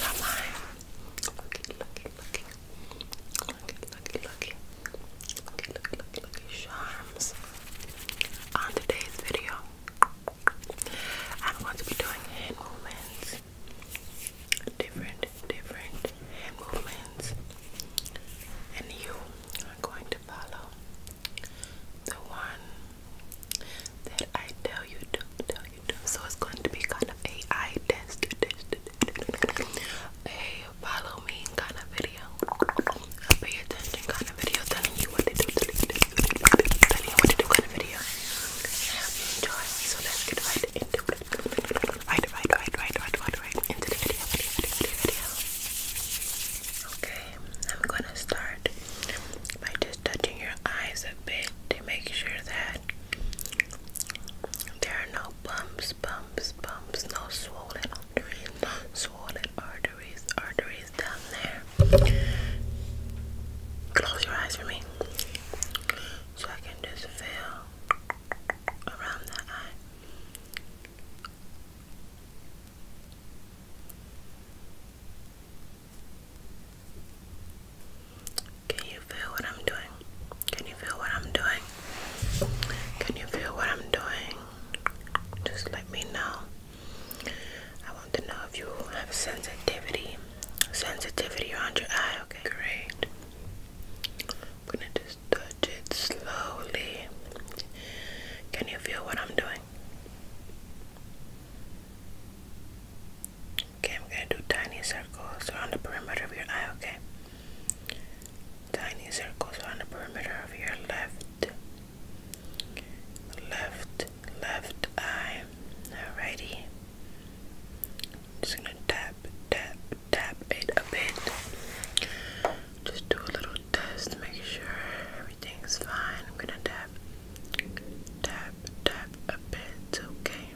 don't mind. Looky, looky, looky. Looky, looky, looky. Looky, Charms. On today's video, I'm going to be doing hand movements different, different movements, and you are going to follow the one that I tell you to, tell you to. So it's going to be kind of a test, a follow me kind of video, pay attention kind of video, telling you what to do, telling you what to do kind of video. I So let's get right into it. Right, right, right, right, right, right, right. Into the video, video, video, video. Okay, I'm gonna start by just touching your eyes a bit to make sure that there are no bumps, bumps, bumps, no swollen arteries, swollen arteries, arteries down there. Close your eyes for me so I can just feel around the eye. Can you feel what I'm doing? Can you feel what I'm doing? Can you feel what I'm doing? Just let me know. I want to know if you have sensitivity Sensitivity around your eye. Okay, great. I'm gonna just touch it slowly. Can you feel what I'm doing? Okay, I'm gonna do tiny circles around the perimeter of your eye. Okay. Tiny circles around the perimeter of your left, left, left eye. Alrighty just gonna tap, tap, tap it a bit. Just do a little test, make sure everything's fine. I'm gonna tap, tap, tap a bit, okay?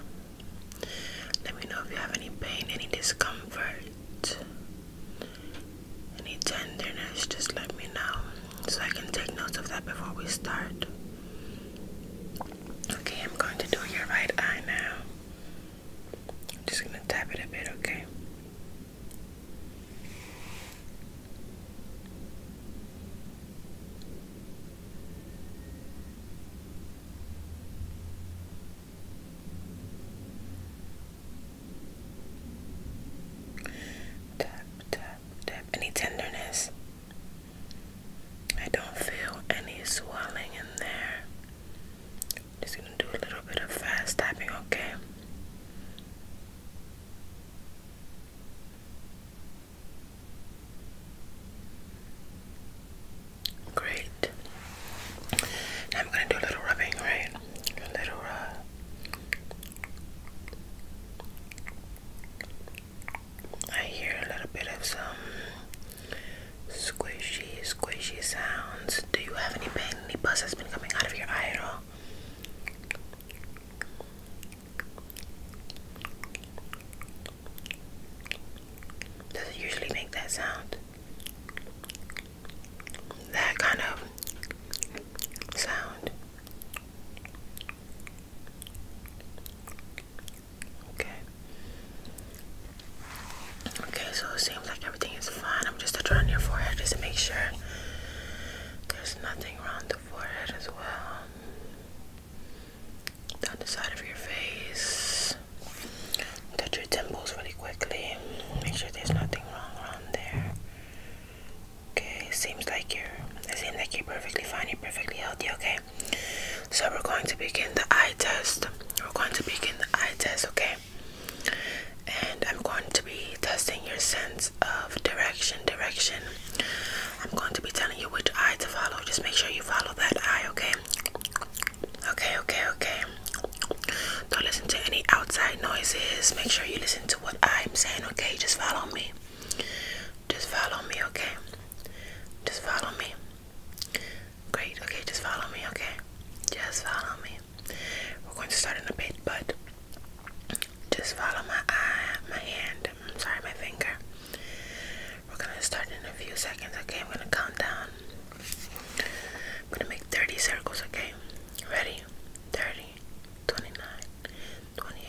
Let me know if you have any pain, any discomfort, any tenderness. Just let me know so I can take notes of that before we start. Okay, I'm going to do your right eye now. I'm just going to tap it a bit, okay? Tap, tap, tap. Any tenderness? I don't feel any swelling in there. Just gonna do a little bit of fast tapping, okay? Great. I'm gonna do a little rubbing, right? A little rub. I hear a little bit of some squishy, squishy sounds. Do you have any pain? Any buzz that's been coming out of your eye at all? Does it usually make that sound? That kind of sound. Okay. Okay, so it seems like everything is fine. I'm just touching on your forehead just to make sure there's nothing around the forehead as well. Down the side of your face. Touch your temples really quickly. Make sure there's nothing wrong around there. Okay, seems like you're it seems like you're perfectly fine, you're perfectly healthy, okay? so we're going to begin the eye test we're going to begin the eye test okay and i'm going to be testing your sense of direction direction i'm going to be telling you which eye to follow just make sure you follow that eye okay okay okay okay don't listen to any outside noises make sure you listen to what i'm saying okay just follow me just follow me okay just follow me. Great, okay, just follow me, okay? Just follow me. We're going to start in a bit, but just follow my eye, my hand, I'm sorry, my finger. We're gonna start in a few seconds, okay? I'm gonna count down. I'm gonna make 30 circles, okay? Ready? 30, 29, 28,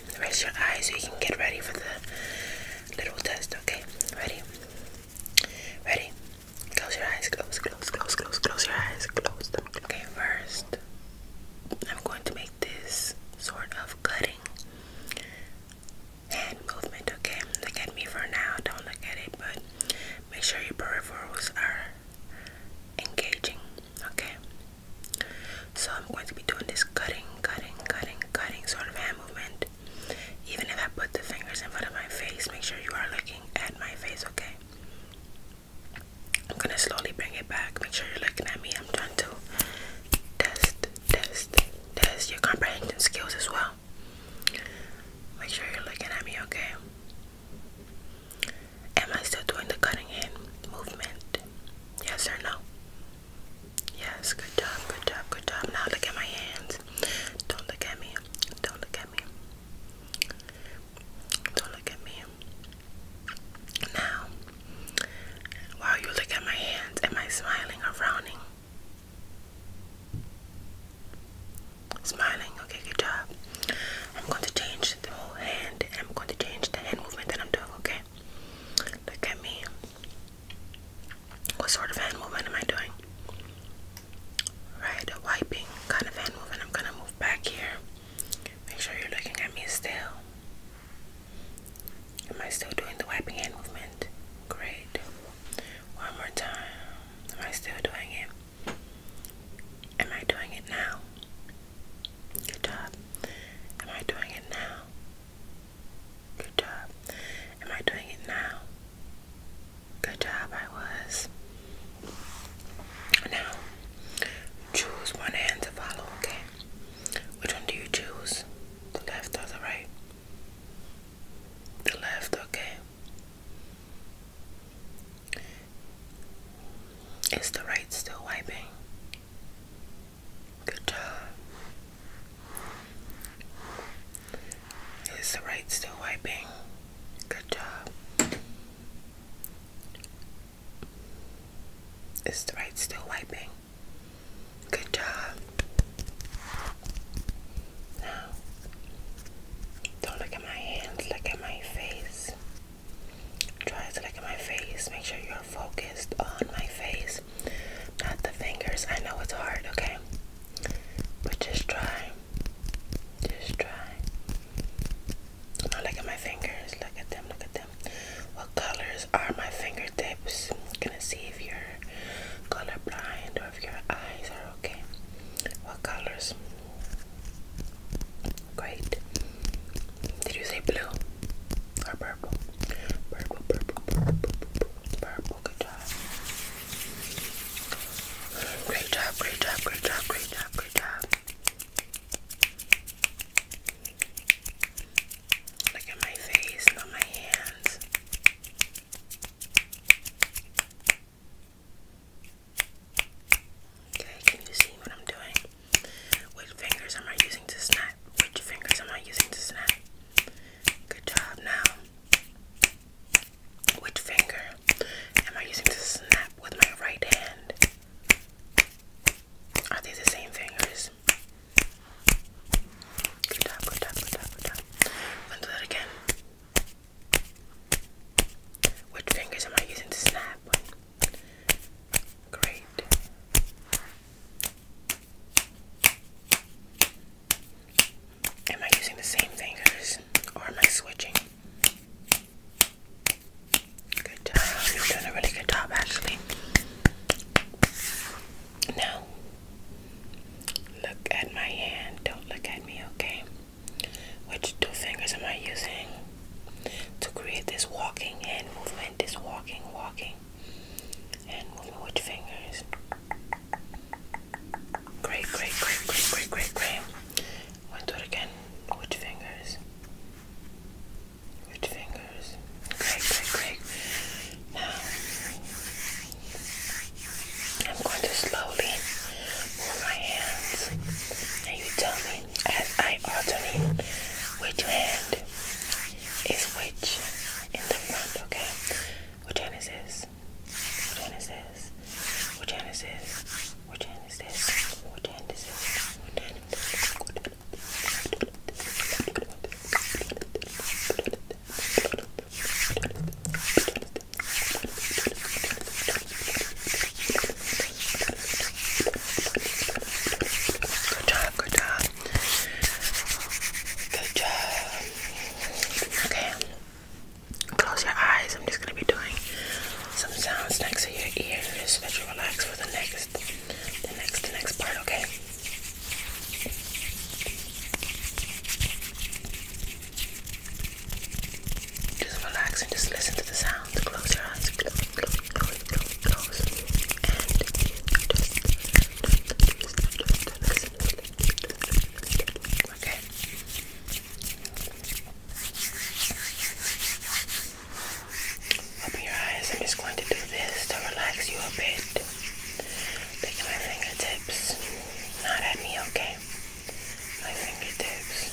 Rest your eyes so you can get ready for the little test, okay? Ready? Ready? Close your eyes. Close, close, close, close, close your eyes. Close them. Okay, first, I'm going to make this sort of cutting hand movement, okay? Look at me for now. Don't look at it, but make sure your peripherals are engaging. Okay. So I'm going to be doing this cutting, cutting, cutting, cutting sort of hand movement. Even if I put the fingers in front of my face, make sure you are looking at my face, okay? I'm gonna slowly bring it back. Make sure you're looking at me. I'm trying to test, test, test your comprehension skills as well. Make sure you're looking at me, okay? Am I still doing the cutting hand movement? Yes or no? Yes, good job, good job, good job. Now look at my hands. Don't look at me. Don't look at me. Don't look at me. Now, while you look at my hands, am I smiling or frowning? Smiling, okay, good job. I'm going to change the whole hand and I'm going to change the hand movement that I'm doing, okay? Look at me. What sort of hand movement am I doing? Right, wiping kind of hand movement. I'm gonna move back here. Make sure you're looking at me still. Am I still doing the wiping hand movement? Great. One more time. Am I still doing it? Am I doing it now? Good job. Am I doing it now? Good job. Am I doing it now? Good job, I was. Now, choose one hand to follow, okay? Which one do you choose? The left or the right? The left, okay? Is the right still wiping? Good job. Is the right still wiping? Good job. Is the right still wiping? Good job. Now, don't look at my hands, look at my face. Try to look at my face. Make sure you're focused on my face, not the fingers. I know it's hard, okay? But just try. Just try. Now look at my fingers. Look at them. Look at them. What colors are my fingertips? gonna see if you're colorblind or if your eyes are okay. What colors? Great. Did you say blue? purple. Purple, purple, purple, purple, purple. Good job. Great job, great job, great job, great job, Look at my face, not my hands. Okay, can you see what I'm doing? Which fingers am I using to snap? Which fingers am I using to snap? Good job. Now, which finger am I using to snap with my right hand? Are they the same fingers? Good job, good job, good job, good job. I'm do that again. Which fingers am I using to snap? Great. Am I using the same fingers or am I switching? Good job. You're doing a really good job, actually. Now, look at my hand. Don't look at me, okay? Which two fingers am I using to create this walking hand movement? mind is walking, walking, and moving with fingers. Great, great, great, great, great, great, great. We'll do it again with fingers. With fingers. Great, great, great. Now, I'm going to slowly move my hands, and you tell me as I alternate which hand is which in the front, okay? Which hand is this? Which hand is this? Which hand is this? Which hand is this? Which hand is this? Good job, good job. Good job. Okay. Close your eyes. I'm just gonna be doing some sounds next to your ears, so that you relax for the next the next the next part, okay? Just relax and just listen to the sound. Close your eyes. Close, close, close, close, close. And Okay. Open your eyes. I'm just going to do this to relax you a bit. Take my fingertips. Not at me, okay? My fingertips.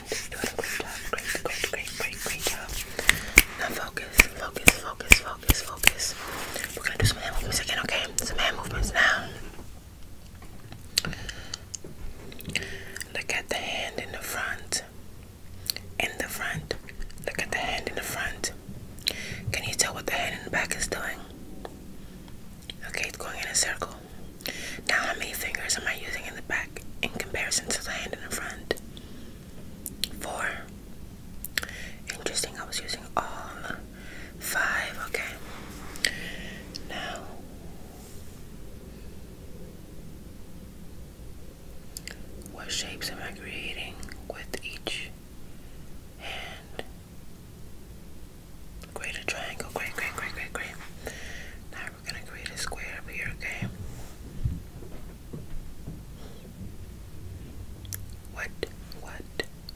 great job. Great, great, great, great, great job. Now focus, focus, focus, focus, focus. We're gonna do some hand movements again, okay? Some hand movements now. Look at the hand in the front. In the front. Look at the hand in the front. Can you tell what the hand in the back is doing? Okay, it's going in a circle. Now, how many fingers am I using in the back in comparison to the hand in the front? Four. Interesting, I was using all five. Okay. Now, what shapes am I creating with each hand? Create triangle. Great, great, great, great, great. Now we're gonna create a square up here, okay? What, what,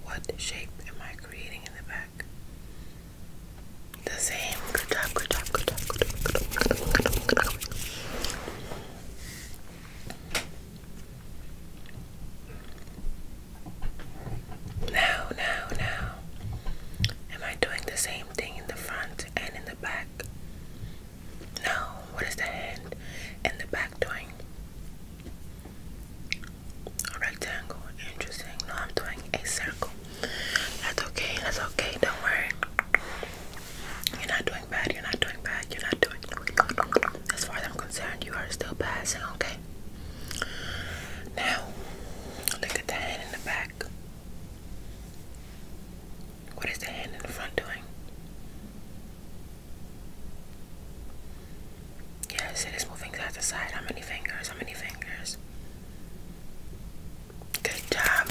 what shape am I creating in the back? The same. good job, good job, good job, good job, good job, good job. Now, now, now, Am I doing the same thing in the front and in the back? No, what is the hand and the back doing? A rectangle, interesting. No, I'm doing a circle. That's okay, that's okay, don't worry. You're not doing bad, you're not doing bad, you're not doing. As far as I'm concerned, you are still passing, okay? Now, look at the hand in the back. What is the hand in the front doing? Yes, it is moving side to side. How many fingers? How many fingers? Good job.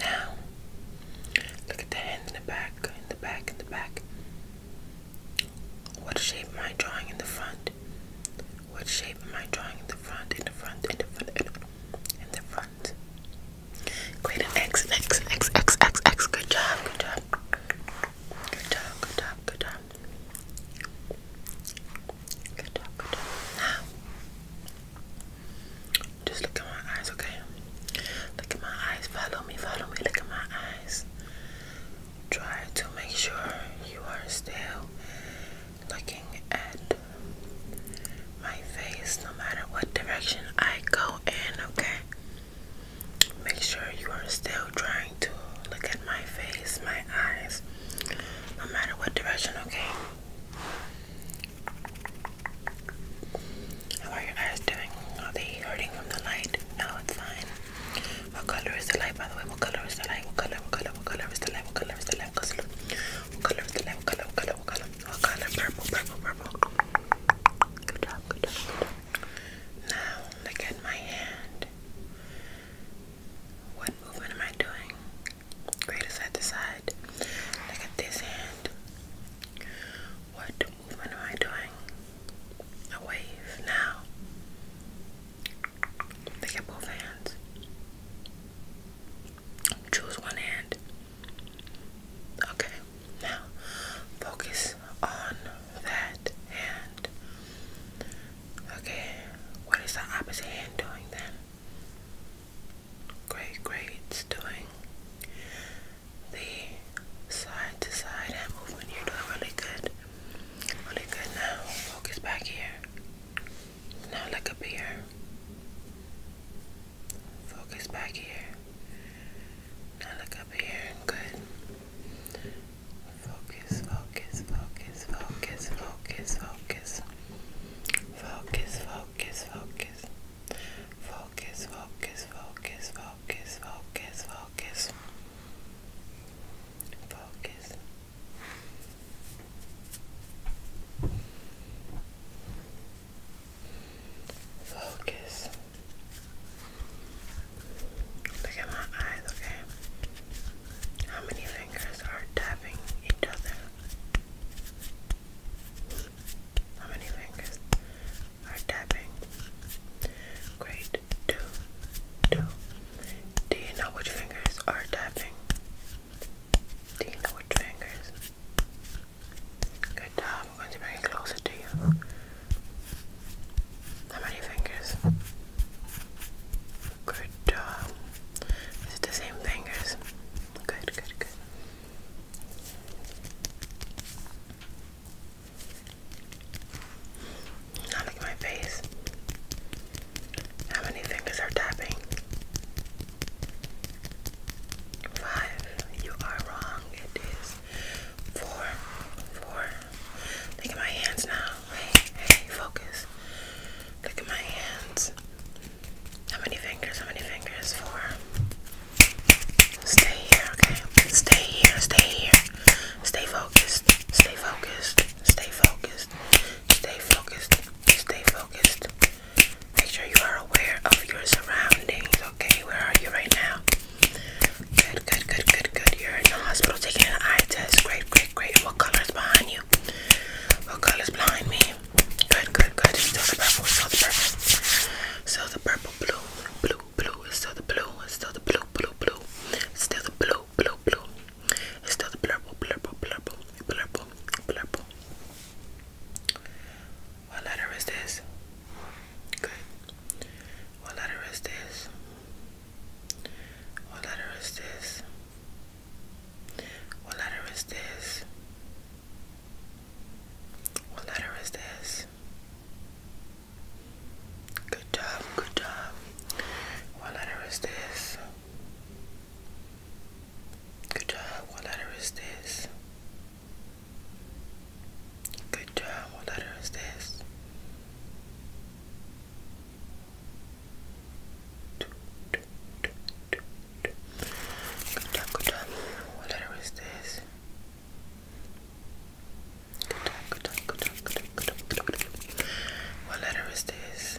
Now, look at the hand in the back, in the back, in the back. What shape am I drawing in the front? What shape am I drawing in the front? In the front, in the front, in the front. In the front. Great, an X, an X, an X, X, X, X. Good job, good job. Good job, good job, good job. Good job, good job. Now, just look at my eyes, okay? Look at my eyes. Follow me, follow me. Look at my eyes try to make sure you are still looking at my face no matter what direction I go in, okay? Make sure you are still trying to look at my face, my eyes, no matter what direction, okay? How are your eyes doing? Are they hurting from the light? No, it's fine. What color is the light? By the way, what color is the light? What color? What color? What color is the light? What color is the light? What color? What color is the light? What color? What color? What color? What color? Purple, purple, purple. Good job, good job. Now look at my hand. What movement am I doing? Greater side to side. Look at this hand. What what am I doing? A wave now. They get both hands. Choose one hand. Okay, now focus on that hand. Okay, what is the opposite hand doing then? Great, great, it's doing the side to side hand movement. You're doing really good. Really good now. Focus back here. Now look up here. Focus back here. Now look up here. Good. focus, focus, focus, focus. Focus, focus, focus. Focus, focus, focus, focus focus, focus, focus, focus. Look at my eyes, okay? How many fingers are tapping each other? How many fingers? are tapping. Great. Two, two. Do you know which fingers are tapping? Do you know which fingers? Good job. I'm going to bring it closer to you. How many fingers? Good job. Is it the same fingers? Good, good, good. Now look at my face. How many fingers are tapping? Five. You are wrong. It is four. Four. Look at my hands now. Hey, hey, focus. Look at my hands. How many fingers? How many fingers? Four. Stay here, okay? Stay here, stay here. Stay focused. Stay focused. Stay focused. Stay focused. Stay focused. Make sure you are aware of your surroundings. Okay, where are you right now? Good, good, good, good, good. You're in the hospital taking an eye test. Great, great, great. What color is behind you? What color is behind me? Good, good, good. Still the purple. Still the purple. Still the purple. Blue, blue, blue, it's still the blue, it's still the blue, blue, blue, it's still the blue, blue, blue, it's still the purple, purple, purple, purple, purple. What letter is this? Good. What letter is this? What letter is this? What letter is this? What letter is this? Good job, good job. What letter is this? Good job, what letter is this? Good job, what letter is this? Good job, good job. What letter is this? What letter is this?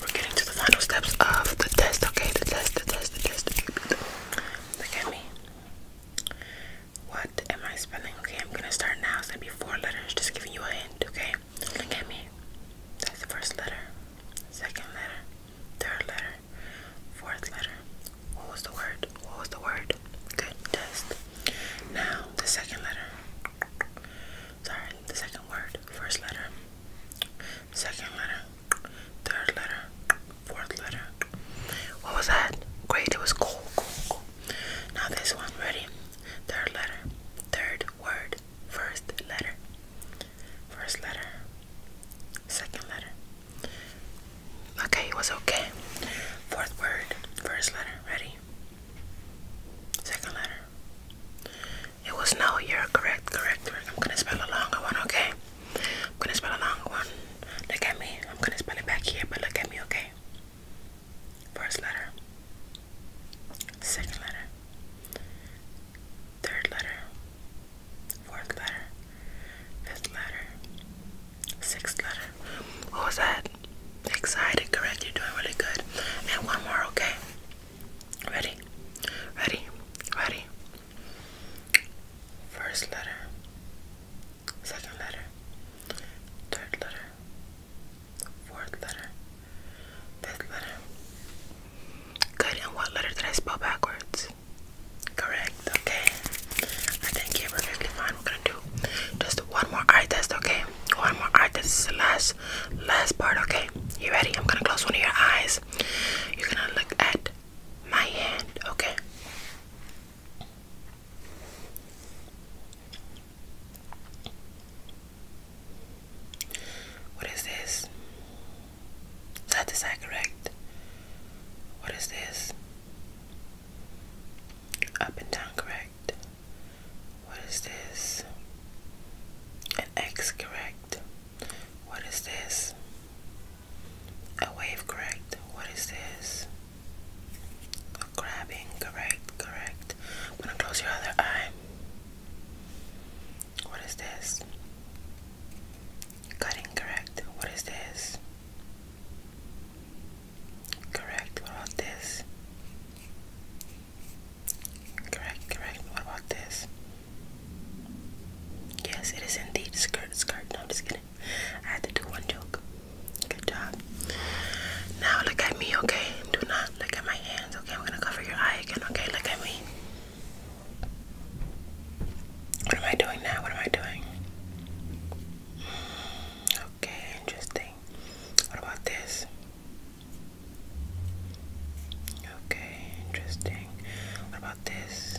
We're getting to the final steps of the test, okay? The test, the test, the test. Look at me. What am I spelling? Okay, I'm gonna start now. It's gonna be four letters, just giving you a hint, okay? Look at me. That's the first letter, second letter, third letter, fourth letter. What was the word? What was the word? Good test. Now, the second letter. Sorry, the second word, first letter, second letter, third letter, fourth letter. What was that? Great, it was cool, cool, cool. Now this one, ready? Third letter, third word, first letter, first letter, second letter. Okay, it was okay. Fourth word, first letter, ready? Second letter. It was no, you're correct, correct, I'm gonna spell along. I want okay. I'm gonna spell a long one. Look at me. I'm gonna spell it back here, but look at me, okay? First letter, second letter, third letter, fourth letter, fifth letter, sixth letter. What was that? Excited, correct? You're doing really good. And one more, okay? Ready? Ready? Ready? First letter, second letter, third letter, fourth letter, fifth letter. Good, and what letter did I spell backwards? Correct, okay. I think you're perfectly fine. We're gonna do just one more eye test, okay? One more eye test. This is the last, last part, okay? You ready? I'm gonna close one of your eyes. You're gonna look at my hand, okay? What is this? Is that correct? What is this? Up and down correct? What is this? An X correct? What is this? A wave, correct. What is this? A grabbing, correct, correct. I'm gonna close your other eye. What is this? Cutting, correct. What is this? Correct. What about this? Correct, correct. What about this? Yes, it is indeed skirt, skirt. No, I'm just kidding. I had to do one joke. Good job. Now look at me, okay? Do not look at my hands, okay? I'm gonna cover your eye again, okay? Look at me. What am I doing now? What am I doing? Okay, interesting. What about this? Okay, interesting. What about this?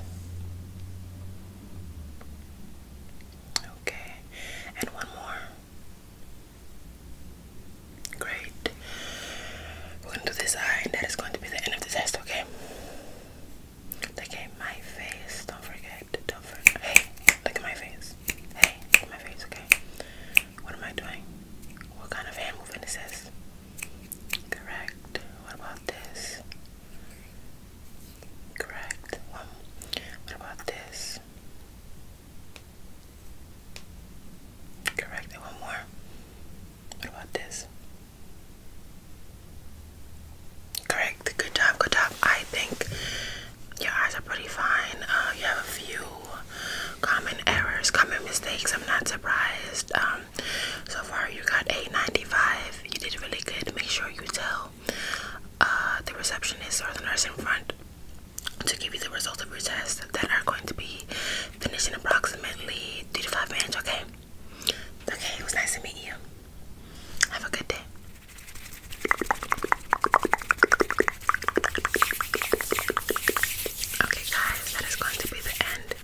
Okay, and one more. Great. We're gonna do this eye, and that is going to be the end of the test, okay? Okay, my face. Don't forget. Don't forget. Hey, look at my face. Hey, look at my face, okay? What am I doing? What kind of hand movement is this? Correct. What about this? Correct. Well, what about this? Correct. one more. What about this? Correct. Good job. Good job. I think your eyes are pretty fine. Uh, you have a few common errors, common mistakes. I'm not surprised. Um, so far you got a 95 you did really good make sure you tell uh, the receptionist or the nurse in front to give you the results of your test. that are going to be finishing approximately three to five minutes okay okay it was nice to meet you have a good day okay guys that is going to be the end